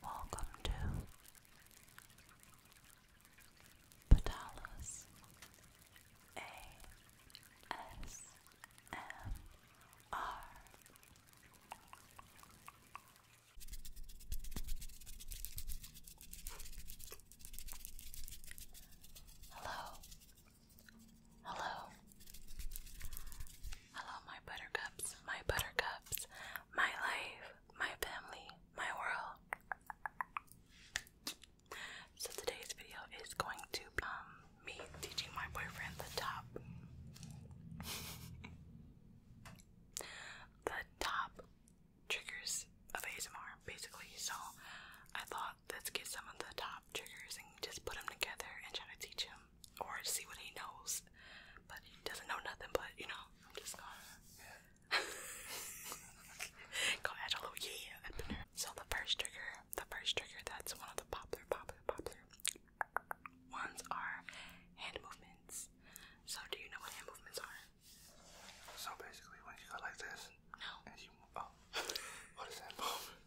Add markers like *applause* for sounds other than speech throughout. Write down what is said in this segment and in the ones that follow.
Welcome to Patalas ASMR. Hello. Hello. Hello, my buttercups, my buttercups, my life, my family, my world. So today's video is going to be um, teaching my boyfriend the top. *laughs* the top triggers of ASMR, basically. So I thought let's get some of the top triggers and just put them together and try to teach him or see what he knows. But he doesn't know nothing, but you know, I'm just gonna *laughs* go add a little yeah in there. So the first trigger, the first trigger that's one of the popular, popular, popular ones are hand movements. So do you know what hand movements are? So basically when you go like this no. and you oh *laughs* what is that movement?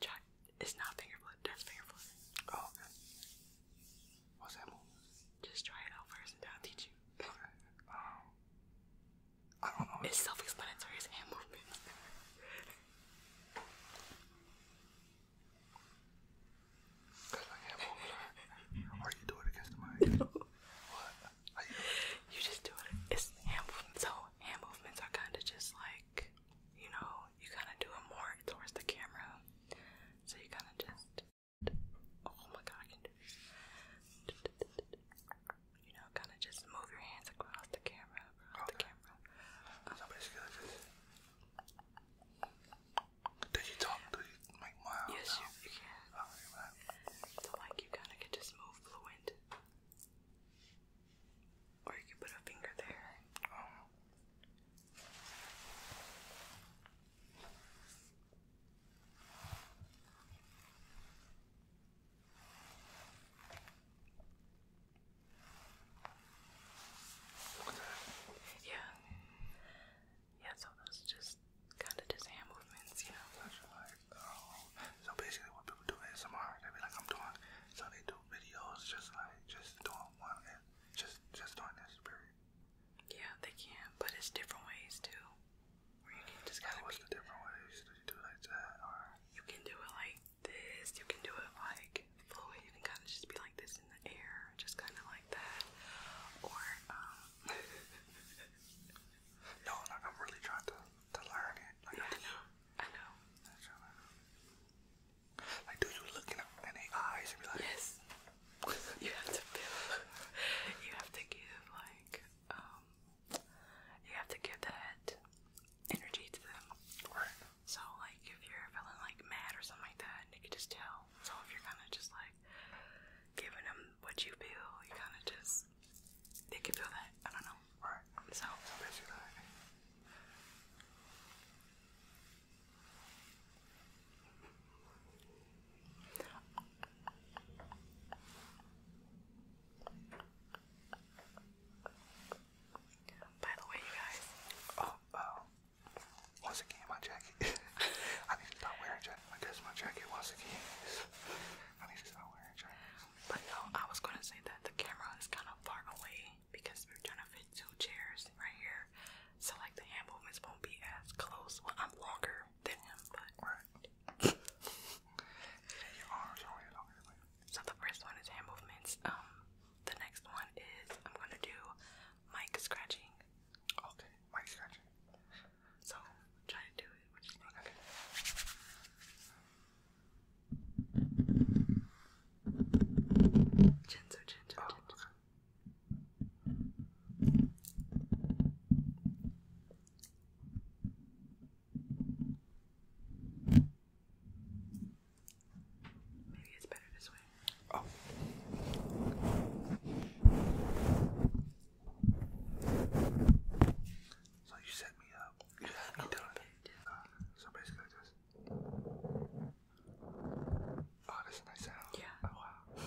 Try it's not finger flip. That's finger flip. Oh, okay. What's that move? Just try it out first, and I'll teach you. Okay. Um, I don't know. It's self-explanatory. as hand movement. Cause I hand movement. Are you doing it against the mic? *laughs* No. What? How you You just do it. It's hand movement. So hand movements are kind of just like you know, you kind of do it more towards the camera. So you kind of just, oh my god, I can do this. You know, kind of just move your hands across the camera, across the camera. Did you talk? Did you make my eyes? Yes, you, can. So, like, you kind of can just move fluent. Or you can put a finger there. Um, yeah. Yeah, so those just kind of just hand movements, you know. Um, so basically what people do is ASMR, they be like, I'm doing, so they do videos just like, just doing one, just, just not necessary. Yeah, they can, but it's different ways too. Where you can just gotta. different ways? Do do it or you can do it like this? You can do it like fluid and kind of just be like this in the air, just kind of like that, or um. *laughs* no, I'm really trying to to learn it. I know. I know. Like, do yes, *laughs* you have to feel, *laughs* you have to give, like, um, you have to give that energy to them. Right. So, like, if you're feeling like mad or something like that, they can just tell. So, if you're kind of just like giving them what you feel, you kind of just, they can feel that. I don't know. Right. So, by the way, you guys. Oh, oh. Once again, my jacket. *laughs* I need to stop wearing jacket. I guess my jacket the again. I need to stop wearing jackets. But no, I was gonna say that the camera is kind of far away, because we're trying to fit two chairs right here, so like the hand movements won't be as close. Well, I'm longer than him, but So the first one is hand movements. Um, the next one is I'm gonna do mic scratching. Okay, mic scratching. So try to do it. Okay. Gentle, gentle, oh, gentle. Maybe it's better this way. Oh. So you set me up. You oh, uh, so basically like Oh, that's a nice sound. Yeah. Oh, wow.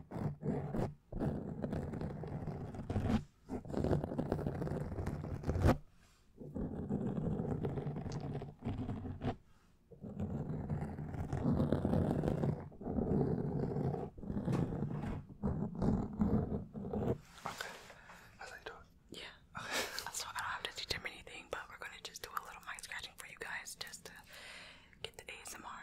Okay, that's how you do it. Yeah. Okay. *laughs* So I don't have to teach anything, but we're gonna just do a little mind scratching for you guys, just to get the ASMR.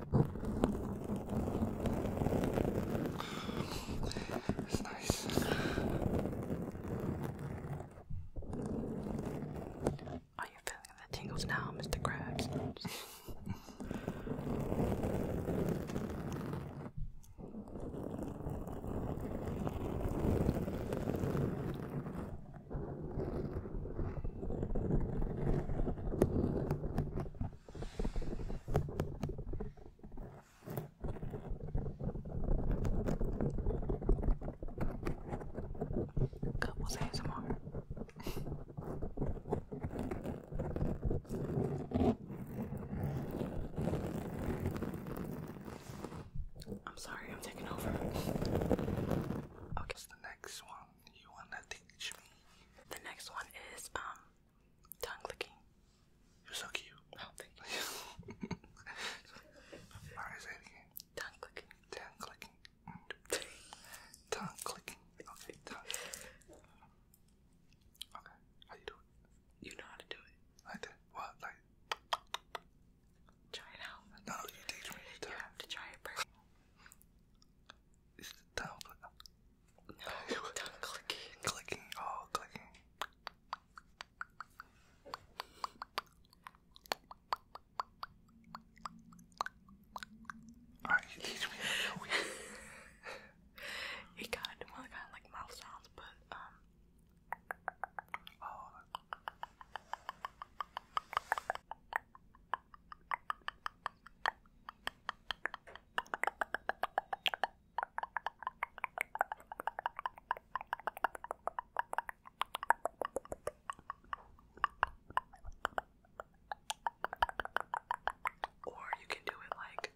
It's nice. Are you feeling the tingles now, Mr. Krabs? Couples ASMR. I'm sorry, I'm taking over. Okay, what's the next one? You wanna teach me? The next one is um tongue licking. You're so cute. Oh, thank you. *laughs* Alright, say it Tongue clicking. Tongue *laughs* clicking. tongue clicking. Okay, tongue Okay, how you do You know how to do it. Like that? What? Like? Try it out. No, you teach me. You, have to try it first. It's the tongue. No, done clicking. Clicking. Oh, clicking. Alright, you teach me how to He got it well, kind of like mouth sounds, but um. Oh, or you can do it like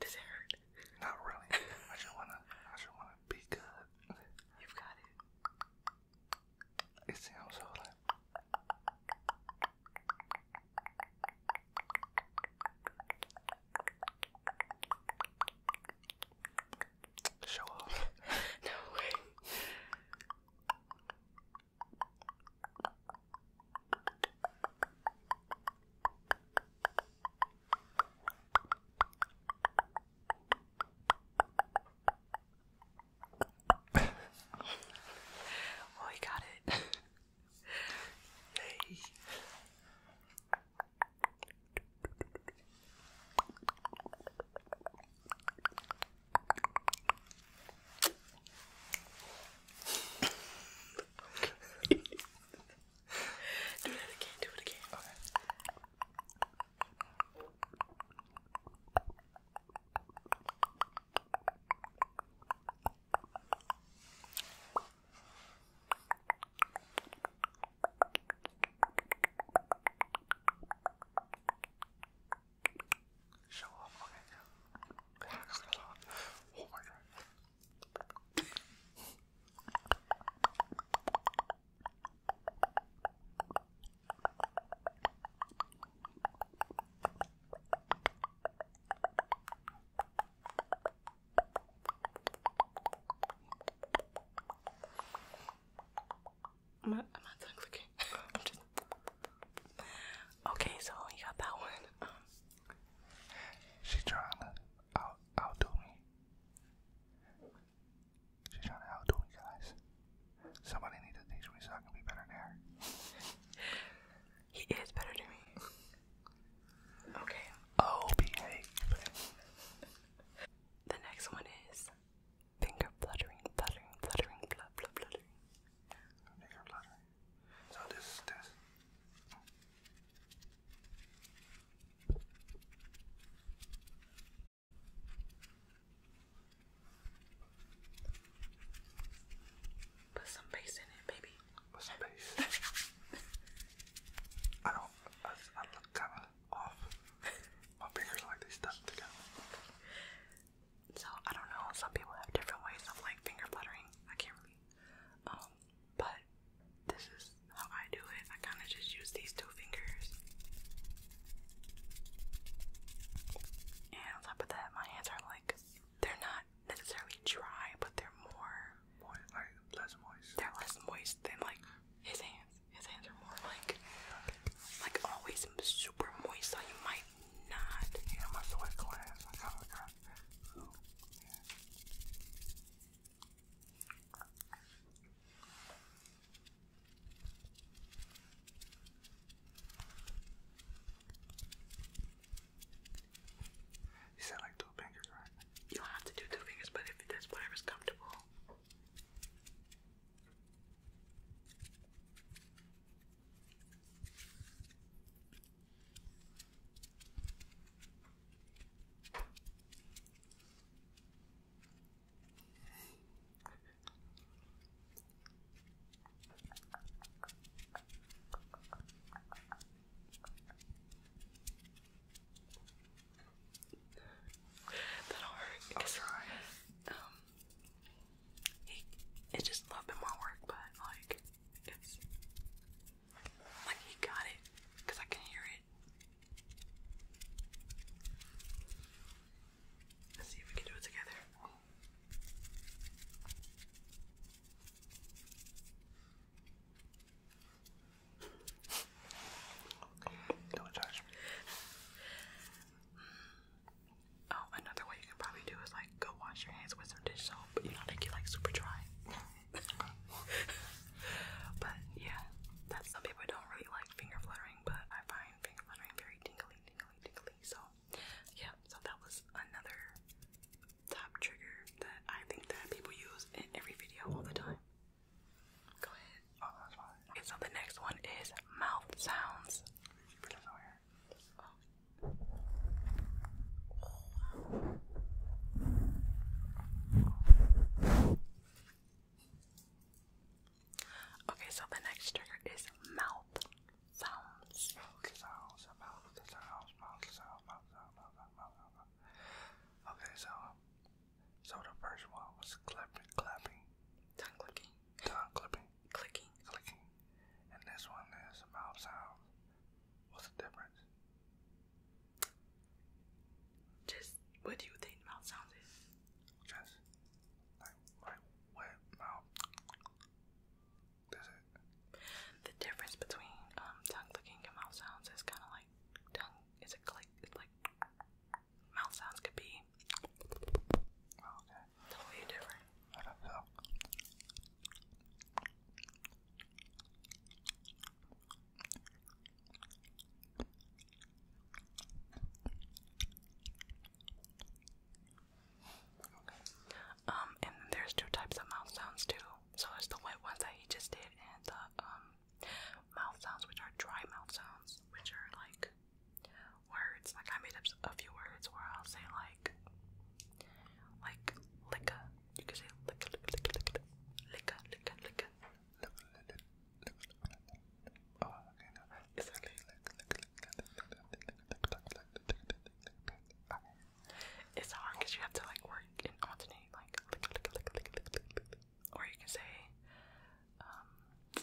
does it hurt? Not really. I just wanna I just wanna be good. You've got it. It sounds so like Show off. *laughs* no way well, oh, we got it. Yay do that again, do it again. Okay. Show off, okay. Oh *laughs* I'm not, I'm not done clicking. Okay, so you got that one. Um, she trying to out outdo me. She trying to outdo me, guys. Somebody needs to teach me so I can be better than her. he is better to me. Okay. Oh, the next one is finger fluttering, fluttering, fluttering, flutter, fluttering. So this is this. Put some bass in it, baby. Put some bass. *laughs* I don't. I, I kind of off. My fingers like they stuck together. So I don't know. Some people have different ways of like finger fluttering. I can't really. Um, but this is how I do it. I kind of just use these two fingers. And on top of that, my hands are like they're not necessarily dry, but they're more, more less moist. They're less moist than like his hands. His hands are more like like always super moist, so you might not. Yeah, my sweat glass. You said like two fingers, right? You don't have to do two fingers, but if that's whatever's comfortable. That'll hurt. I'll try. Um, it's just a little bit more work, but like it's like he got it because I can hear it. Let's see if we can do it together. Don't touch me. Mm. Oh, another way you can probably do is like go wash your hands with some dish soap, but you know they get like super dry. *laughs* but yeah, that's some people don't really like finger fluttering, but I find finger fluttering very tingly, tingly, tingly. So yeah, so that was another top trigger that I think that people use in every video all the time. Go ahead. Oh, that's fine. so the next one is mouth sounds. Okay, so the next trigger is mouth sounds. Okay, so so the first one was clapping, clapping, tongue clicking, tongue clipping. Clicking. Clicking. And this one is mouth sounds. What's the difference? Just what do you think mouth sounds is? Just like like wet mouth. That's it. The difference between um tongue clicking and mouth sounds is kinda like tongue is a click it's like mouth sounds could be me. Oh, okay. What are you doing? I don't know. Um, and there's two types of mouth sounds too. So there's the wet ones that he just did, and the um mouth sounds, which are dry mouth sounds, which are like words. Like I made up a few words where I'll say like, like liquor. You can say liquor, liquor, liquor, liquor, liquor, liquor. Oh, okay, no, it's okay. It's hard because you have to like work and alternate, like, or you can say, um,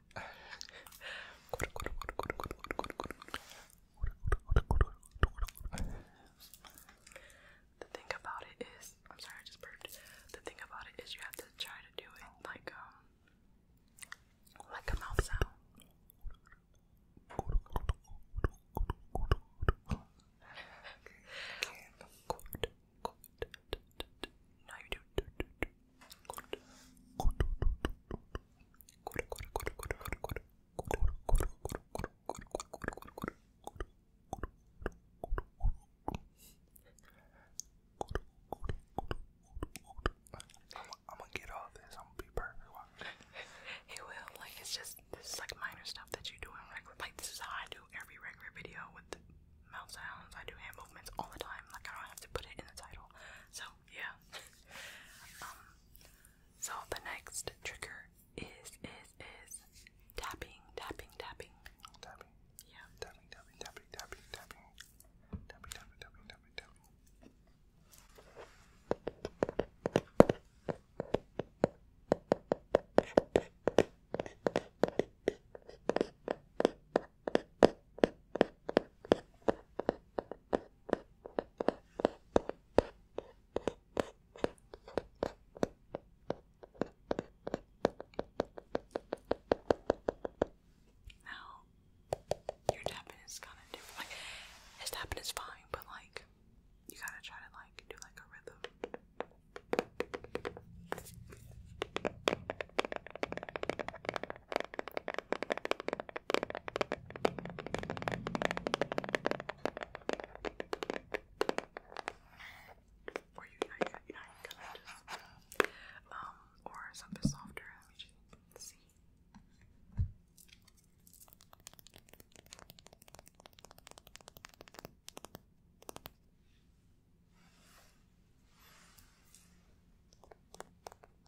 The thing about it is, I'm sorry, I just burped. The thing about it is, you have to try to do it like um, like a mouth sound. *laughs* I'm gonna get all this. I'm gonna be perfect. *laughs* It will. Like it's just this is like minor stuff that you do in regular. Like this is how I do every regular video with the mouth sounds. I do hand movements all the time. Like I don't have to put it in the title. So yeah. Um, so the next trigger is is is tapping, tapping, tapping. Tapping. Yeah. tapping, tapping, tapping, tapping. Tapping, tapping, tapping, tapping, tapping. Now, your tapping is kind of different. Like, his tapping is fine, but like, you gotta try to like do like a rhythm. Or you know, you know, you can just, um, or something softer. Let me just see. Okay.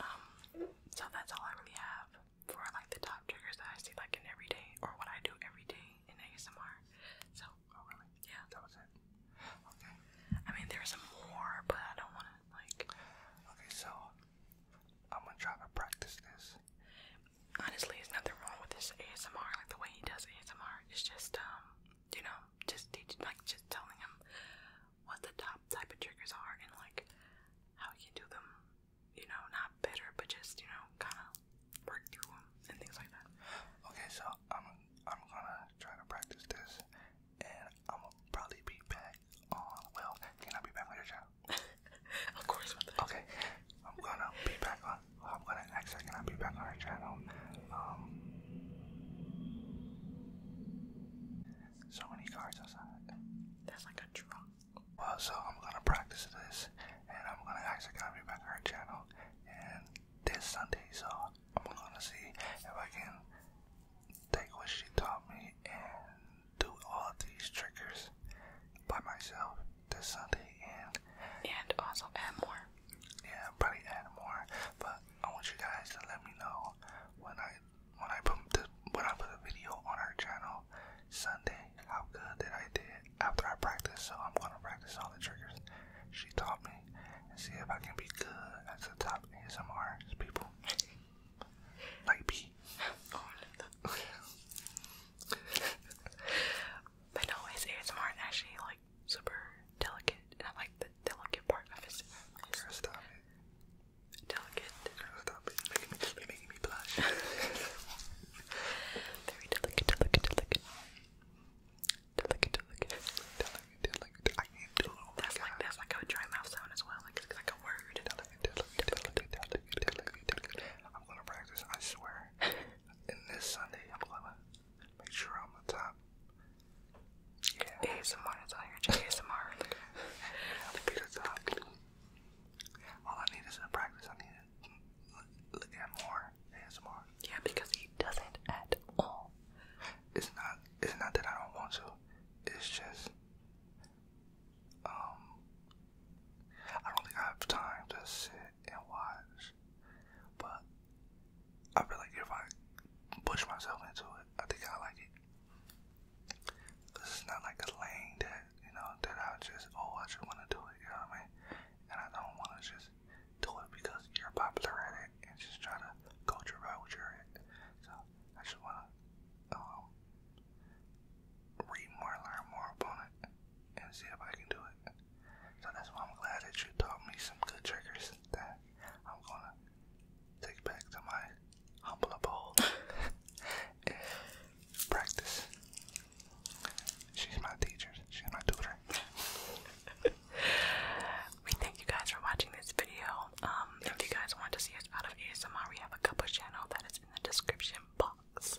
Um, so that's all I really have for like the top triggers that I see like in every day or what I do every day in ASMR. So oh, Yeah. That was it. Okay. I mean there's more but I don't wanna like Okay, so I'm gonna try to practice this honestly, there's nothing wrong with this ASMR. Like the way he does ASMR, it's just um, you know, just teach, like just telling him what the top type of triggers are and like how you can do them. You know, not better, but just you know, kind of work through them and things like that. Okay, so I'm I'm gonna try to practice this, and I'm gonna probably be back on. Well, can I be back later, child? *laughs* of course. Okay. I'm gonna be back on. I'm gonna actually gonna be back on her channel. Um, so many cars outside. That's like a truck. Well, so I'm gonna practice this, and I'm gonna actually gonna be back on her channel, and this Sunday. So I'm gonna see if I can take what she taught me and do all these tricks by myself this Sunday and and also add more. Yeah, probably add more. But I want you guys to let me know when I when I put the, when I put the video on our channel Sunday how good that I did after I practice. So I'm gonna practice all the triggers she taught me and see if I can be good as the top ASMR people. like me. *laughs* Oh, *laughs* but no, his ASMR actually like super delicate, and I like the delicate part of his. Girl, Delicate. Oh that's like a dry mouth sound as well. Like a word. I'm gonna practice. I swear. *laughs* And this Sunday, I'm gonna make sure I'm on top. Yeah. ASMR is all your ASMR. I'm gonna be All I need is a practice. I need to look at more ASMR. Yeah, because he doesn't at all. It's not. It's not that I don't want to. It's just. Um. I don't think I have time to sit and watch. But I feel like if I push myself into it, I think I like it. Cause it's not like a lane that you know that I just oh I just want to do it. You know what I mean? And I don't want to just do it because you're popular at it and just try to go your route with your at. So I just want to um, read more, learn more upon it, and see if I can do it. So that's why I'm glad that you taught me some good tricks that I'm gonna take back to my humble abode practice. She's my teacher, she's my tutor. we thank you guys for watching this video. Um, if you guys want to see us out of ASMR, we have a couple channel that is in the description box.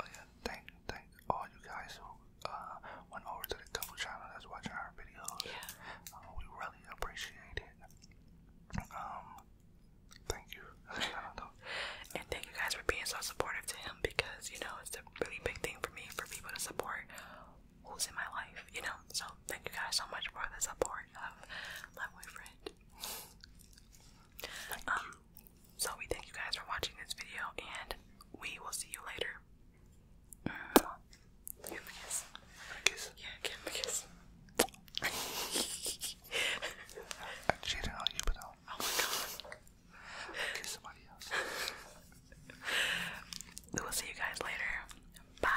Oh, yeah, thank, thank all you guys uh, went over to the couple channel that's watching our videos. Yeah. Uh, we really appreciate it. Um, thank you. *laughs* and thank you guys for being so supportive to him because you know it's a really big thing for me for people to support who's in my life, you know. So thank you guys so much for the support of my boyfriend. um, so we thank you guys for watching this video and we will see you later. Mm-hmm. kiss. Yeah, give him a kiss. I cheated on you, but no. Oh my god. Kiss somebody else. we will see you guys later. Bye.